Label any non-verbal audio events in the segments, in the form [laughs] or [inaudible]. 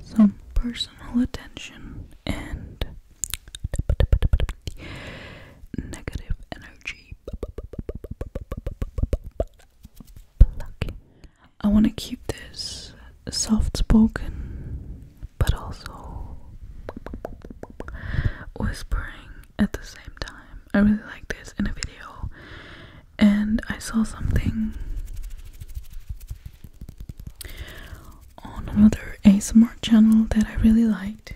some personal attention and negative energy. I want to keep this soft spoken but also whispering at the same time. I really like this in a video and I saw something on another ASMR channel that I really liked.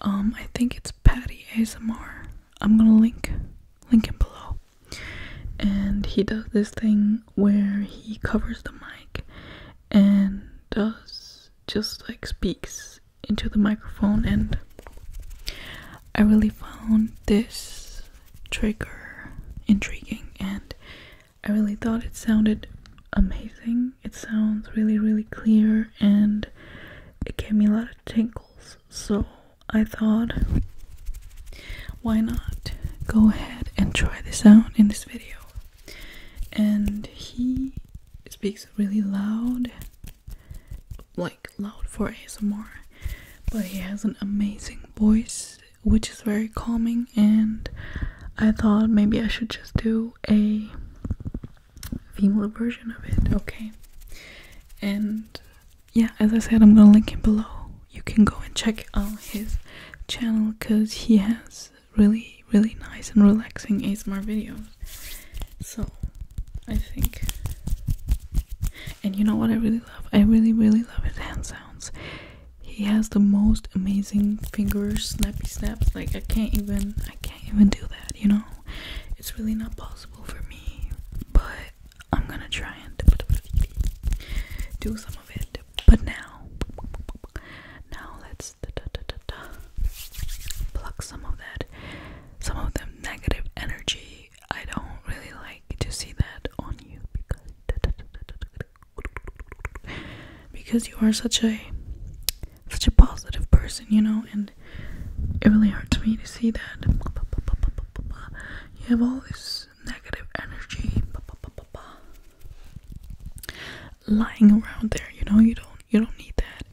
Um, I think it's Patty ASMR. I'm gonna link link him below. And he does this thing where he covers the mic and does just like speaks into the microphone and I really found this trigger intriguing and I really thought it sounded amazing. It sounds really, really clear and it gave me a lot of tingles. So I thought, why not go ahead and try this out in this video? And he speaks really loud loud for ASMR, but he has an amazing voice which is very calming and I thought maybe I should just do a female version of it. Okay. And yeah, as I said, I'm gonna link him below. You can go and check out his channel because he has really, really nice and relaxing ASMR videos. So I think. And you know what I really love? I really, really love his hand sounds. He has the most amazing fingers, snappy snaps. Like I can't even, I can't even do that. You know, it's really not possible for me. But I'm gonna try and do some of it. But now, now let's pluck some of that, some of the negative energy I don't really like to see that on you because because you are such a such a positive person, you know, and it really hurts me to see that you have all this negative energy lying around there, you know, you don't you don't need that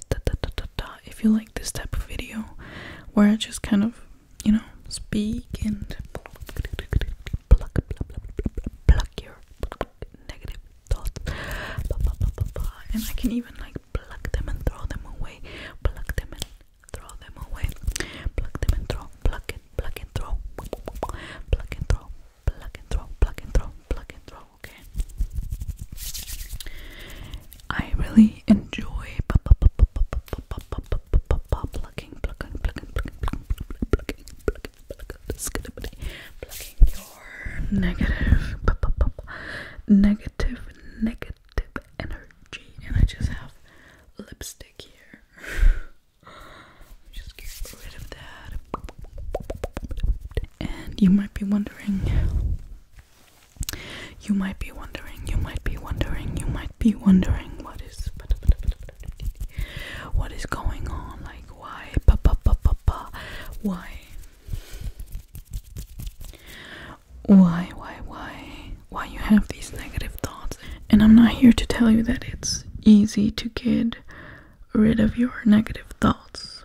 is da da da da da. If you like this type of video where I just kind of, you know, speak and pluck, pluck your negative thoughts, and I can even like pluck them and throw them away, pluck them and throw them away, pluck them and throw, pluck and pluck and throw, pluck and throw, pluck and throw, pluck and throw, pluck and throw okay? I really enjoy plucking, plucking, plucking, plucking, plucking, plucking, plucking your negative, negative, negative energy. And I just have lipstick here. Just get rid of that. And you might be wondering you might be wondering, you might be wondering, you might be wondering what is what is going on, like why pa why why why why why you have these negative thoughts and I'm not here to tell you that it's easy to get rid of your negative thoughts.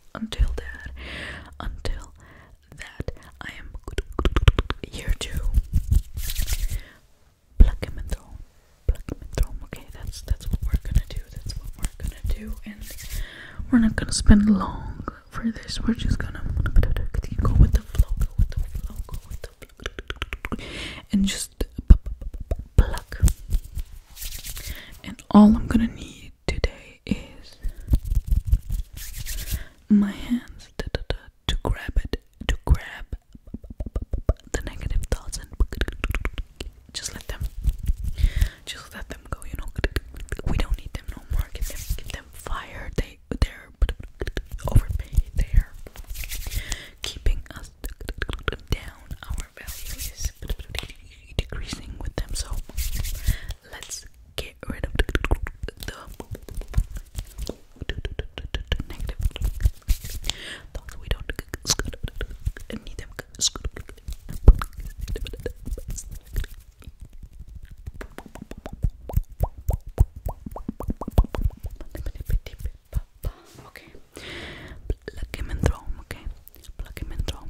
until that until that I am here to pluck him and Pluck him and Okay, that's that's what we're gonna do. That's what we're gonna do and we're not gonna spend long for this. We're just gonna go with the flow, go with the flow, go with the flow and just pluck. And all I'm gonna need today is my hands da, da, to grab it, to grab the negative thoughts and just let them, just let them go. You know, we don't need them no more. Get them, get them fired. They, they're overpaid. They're keeping us down. Our value is decreasing with them. So let's get rid of the negative We don't need them. Okay, plug him and throw him. Okay, plug him and throw him.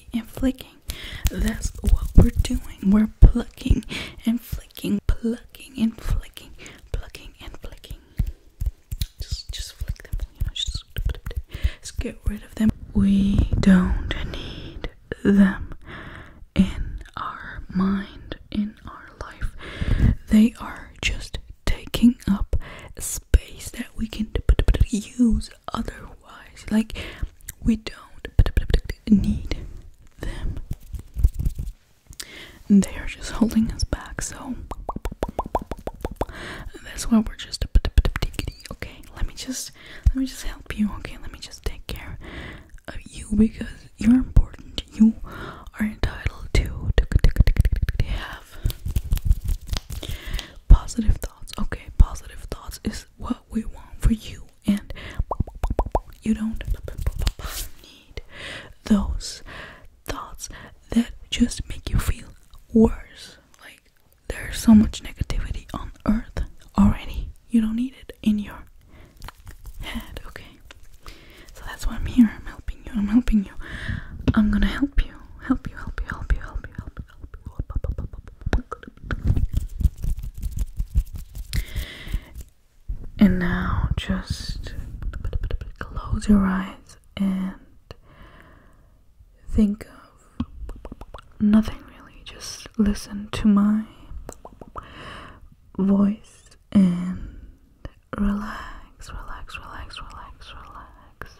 and flicking. That's what we're doing. We're plucking and flicking, plucking and flicking, plucking and flicking. Just just flick them, just, get rid of them. We don't need them in our mind, in our life. They are just taking up space that we can use otherwise. Like, we don't need them. They are just holding us back, so that's why we're just okay. Let me just let me just help you, okay? Let me just take care of you because you're important. You are entitled to have positive thoughts. Okay, positive thoughts is what we want for you, and you don't need those thoughts that just make you feel worse. Like there's so much negativity on earth already. You don't need it in your head, okay? So that's why I'm here. I'm helping you. I'm helping you. I'm gonna help you. Help you, help you, help you, help you, help you. And now just close your eyes and think of nothing really. Just listen to my voice and relax, relax, relax, relax, relax,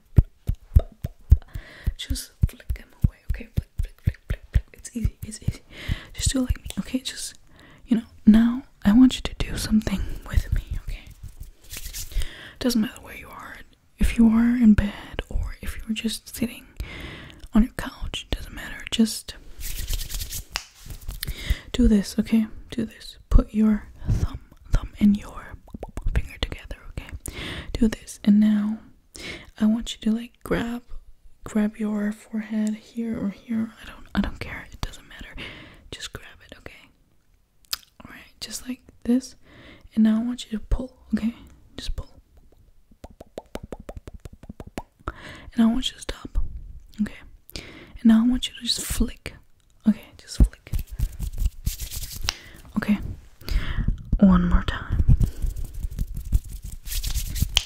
just flick them away, okay? Flick, flick, flick, flick, It's easy, it's easy. Just do it like me, okay? Just, you know, now I want you to do something with me, okay? Doesn't matter where you are. If you are in bed or if you're just sitting on your couch, doesn't matter. Just do this, okay? Do this. Put your thumb thumb and your finger together, okay? Do this. And now I want you to like grab grab your forehead here or here. I don't I don't care. It doesn't matter. Just grab it, okay? All right. Just like this. And now I want you to pull, okay? Just pull. And I want you to stop. Okay. And now I want you to just flick. Okay, just flick. Okay, one more time.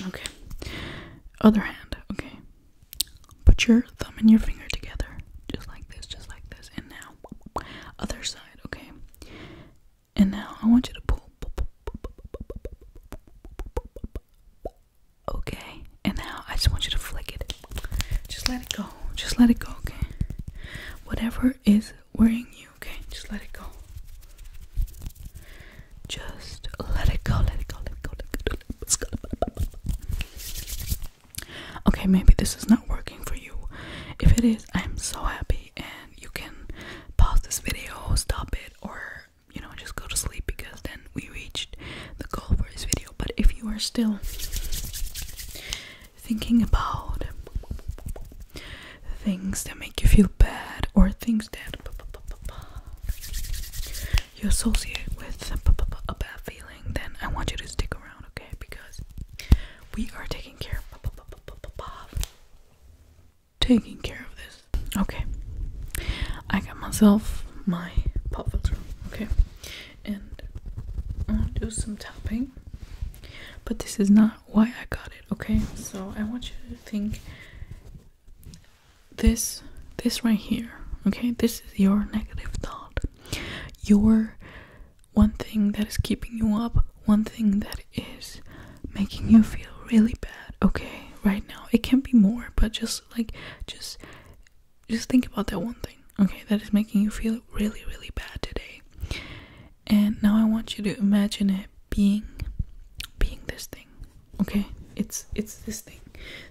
Okay, other hand. Okay, put your thumb and your finger together, just like this, just like this. And now, other side. Okay, and now I want you to pull. Okay, and now I just want you to flick it. Just let it go. Just let it go, okay? Whatever is worrying you, okay? Just let it go. Just let it go, let it go, let it go. Okay, maybe this is not working for you. If it is, I'm so happy, and you can pause this video, stop it, or you know, just go to sleep because then we reached the goal for this video. But if you are still thinking about things that make you feel bad or things that you associate with a bad feeling, then I want you to stick around, okay? Because we are taking care of taking care of this. Okay. I got myself my pop filter, okay? and I'll do some tapping. But this is not why I got it, okay? So I want you to think this this right here, okay? This is your negative thought. Your one thing that is keeping you up, one thing that is making you feel really bad, okay? Right now. It can be more, but just like just just think about that one thing okay, that is making you feel really, really bad today. And now I want you to imagine it being being this thing. Okay? It's it's this thing.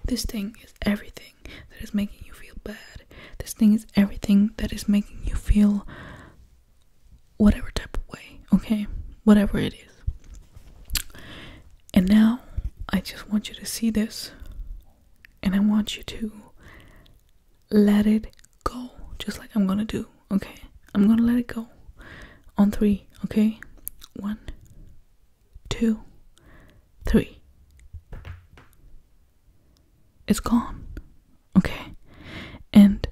This thing is everything that is making you feel bad. This thing is everything that is making you feel whatever type of way, okay? Whatever it is. And now I just want you to see this and I want you to let it go, just like I'm gonna do, okay? I'm gonna let it go on three, okay? One, two, three. It's gone, okay? And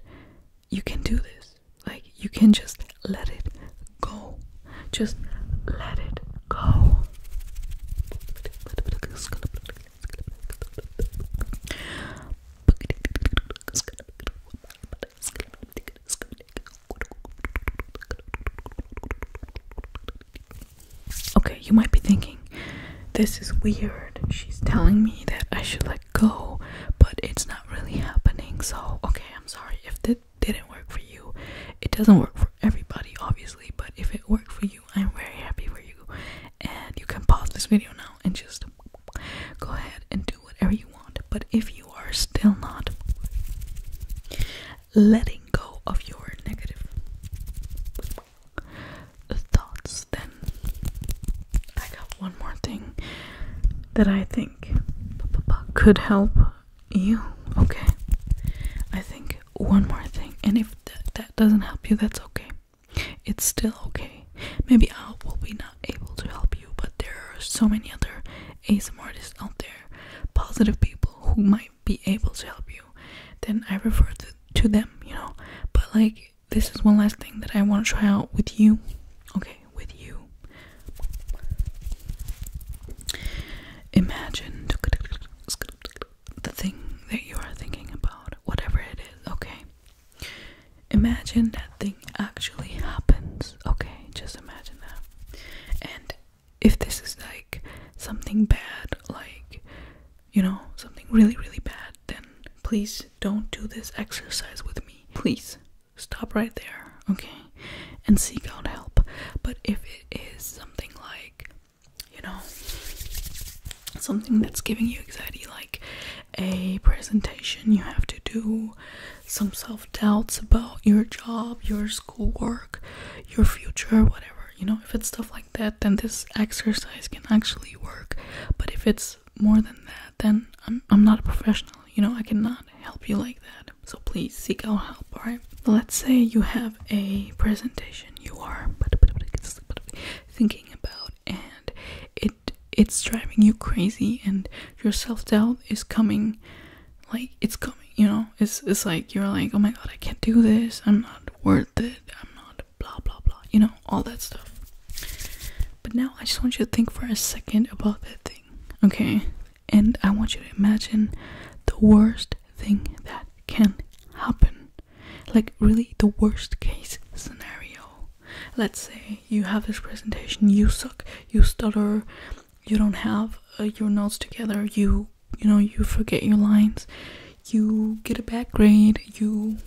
you can do this, like, you can just let it go, just let it go. Okay, you might be thinking, this is weird. She's telling me that I should let go, but it's not really happening. So, okay, I'm sorry if that didn't work for you. It doesn't work for everybody, obviously, but if it worked for you, I'm very happy for you. And you can pause this video now and just go ahead and do whatever you want. But if you are still not letting go of your negative thoughts, then I got one more thing that I think could help you. Okay. I think one more thing. And if that doesn't help you, that's okay. It's still okay. Maybe I will be not able to help you, but there are so many other ASMR artists out there, positive people who might be able to help you. Then I refer to, to them, you know. But like, this is one last thing that I want to try out with you. Okay, with you. Imagine the thing that you are thinking about, whatever it is, okay? Imagine that thing actually happens, okay? Just imagine that. And if this is like something bad, like you know, something really, really bad, then please don't do this exercise with me. Please stop right there, okay? And seek out help. But if it is something like you know, something that's giving you anxiety, like a presentation you have to do, some self doubts about your job, your schoolwork, your future, whatever. You know, if it's stuff like that, then this exercise can actually work. But if it's more than that, then I'm, I'm not a professional. You know, I cannot help you like that. So please seek out help, alright? Let's say you have a presentation. You are thinking about and it it's driving you crazy and your self-doubt is coming like it's coming you know it's it's like you're like oh my god i can't do this i'm not worth it i'm not blah blah blah you know all that stuff but now i just want you to think for a second about that thing okay and i want you to imagine the worst thing that can happen like, really, the worst case scenario. Let's say you have this presentation, you suck, you stutter, you don't have uh, your notes together, you, you know, you forget your lines, you get a bad grade, you,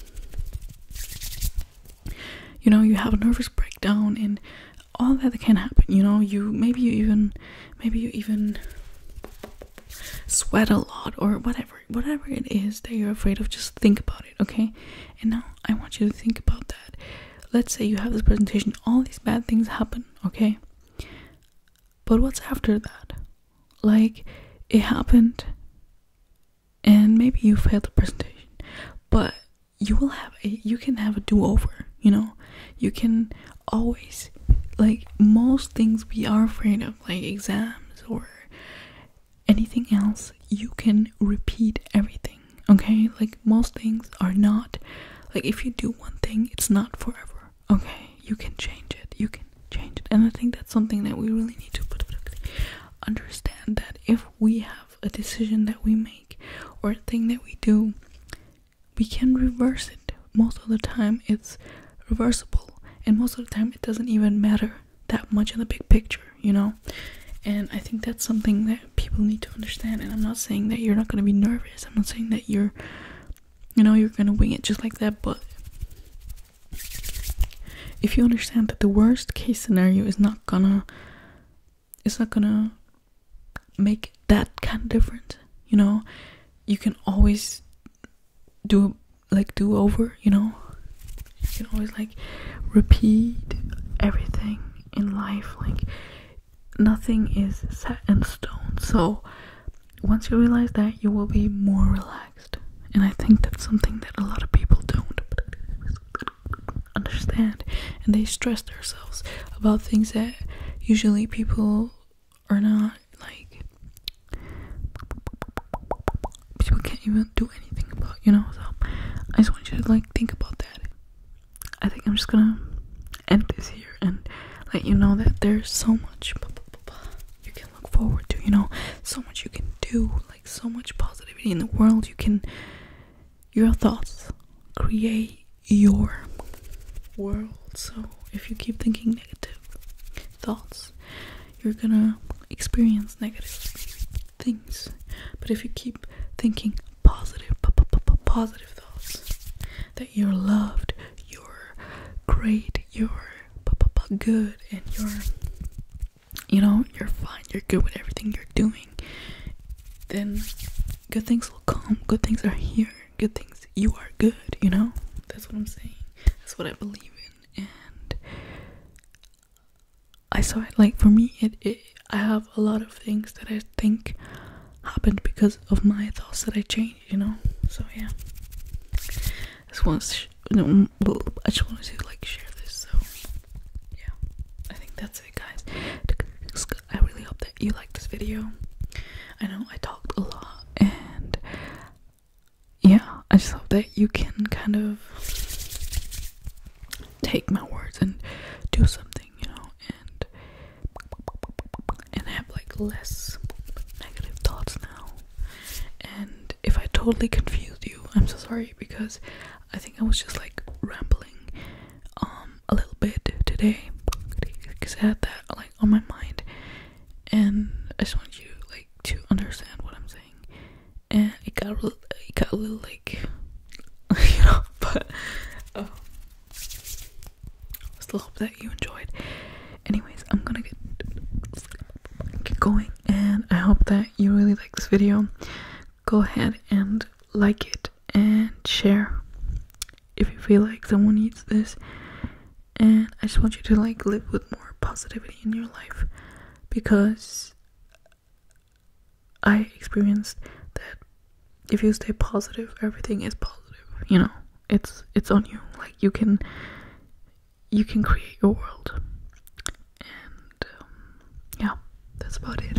you know, you have a nervous breakdown, and all that can happen. You know, you maybe you even, maybe you even sweat a lot or whatever whatever it is that you're afraid of just think about it okay and now i want you to think about that let's say you have this presentation all these bad things happen okay but what's after that like it happened and maybe you failed the presentation but you will have a you can have a do-over you know you can always like most things we are afraid of like exams or anything else, you can repeat everything, okay? Like, most things are not, like, if you do one thing, it's not forever, okay? You can change it, you can change it. And I think that's something that we really need to understand that if we have a decision that we make or a thing that we do, we can reverse it. Most of the time, it's reversible and most of the time it doesn't even matter that much in the big picture you know and i think that's something that people need to understand and i'm not saying that you're not going to be nervous i'm not saying that you're you know you're going to wing it just like that but if you understand that the worst case scenario is not gonna it's not gonna make that kind of different, you know you can always do like do over, you know? You can always like repeat everything in life. Like nothing is set in stone. So once you realize that, you will be more relaxed. And I think that's something that a lot of people don't understand. And they stress themselves about things that usually people or not. Like, people can't even do anything about, you know. So I just want you to like think about that. I think I'm just gonna end this here and let you know that there's so much you can look forward to. You know, so much you can do. Like, so much positivity in the world. You can your thoughts create your world. So if you keep thinking negative, thoughts, you're gonna experience negative things. But if you keep thinking positive, thoughts, that you're loved, you're great, you're good, and you're, you know, you're fine, you're good with everything you're doing, then good things will come, good things are here good things. You are good, you know? That's what I'm saying. That's what I believe in. And I saw it like for me it, I have a lot of things that I think happened because of my thoughts that I changed, you know? So yeah. I just want to no, I just wanted to like share this. So yeah, I think that's it, guys. I really hope that you liked this video. I know I talked a lot, and yeah, I just hope that you can kind of take my words and do something, you know, and and have like less negative thoughts now. And if I totally confused you, I'm so sorry because I think I was just like rambling um a little bit today because I had that like on my mind and I just want you like to understand what I'm saying and it got a little, it got a little like [laughs] you know but oh still hope that you enjoyed anyways I'm gonna get get going and I hope that you really like this video go ahead and like it and share if you feel like someone needs this. And I just want you to like live with more positivity in your life because I experienced that if you stay positive, everything is positive, you know. It's it's on you. Like you can you can create your world. And um, yeah, that's about it.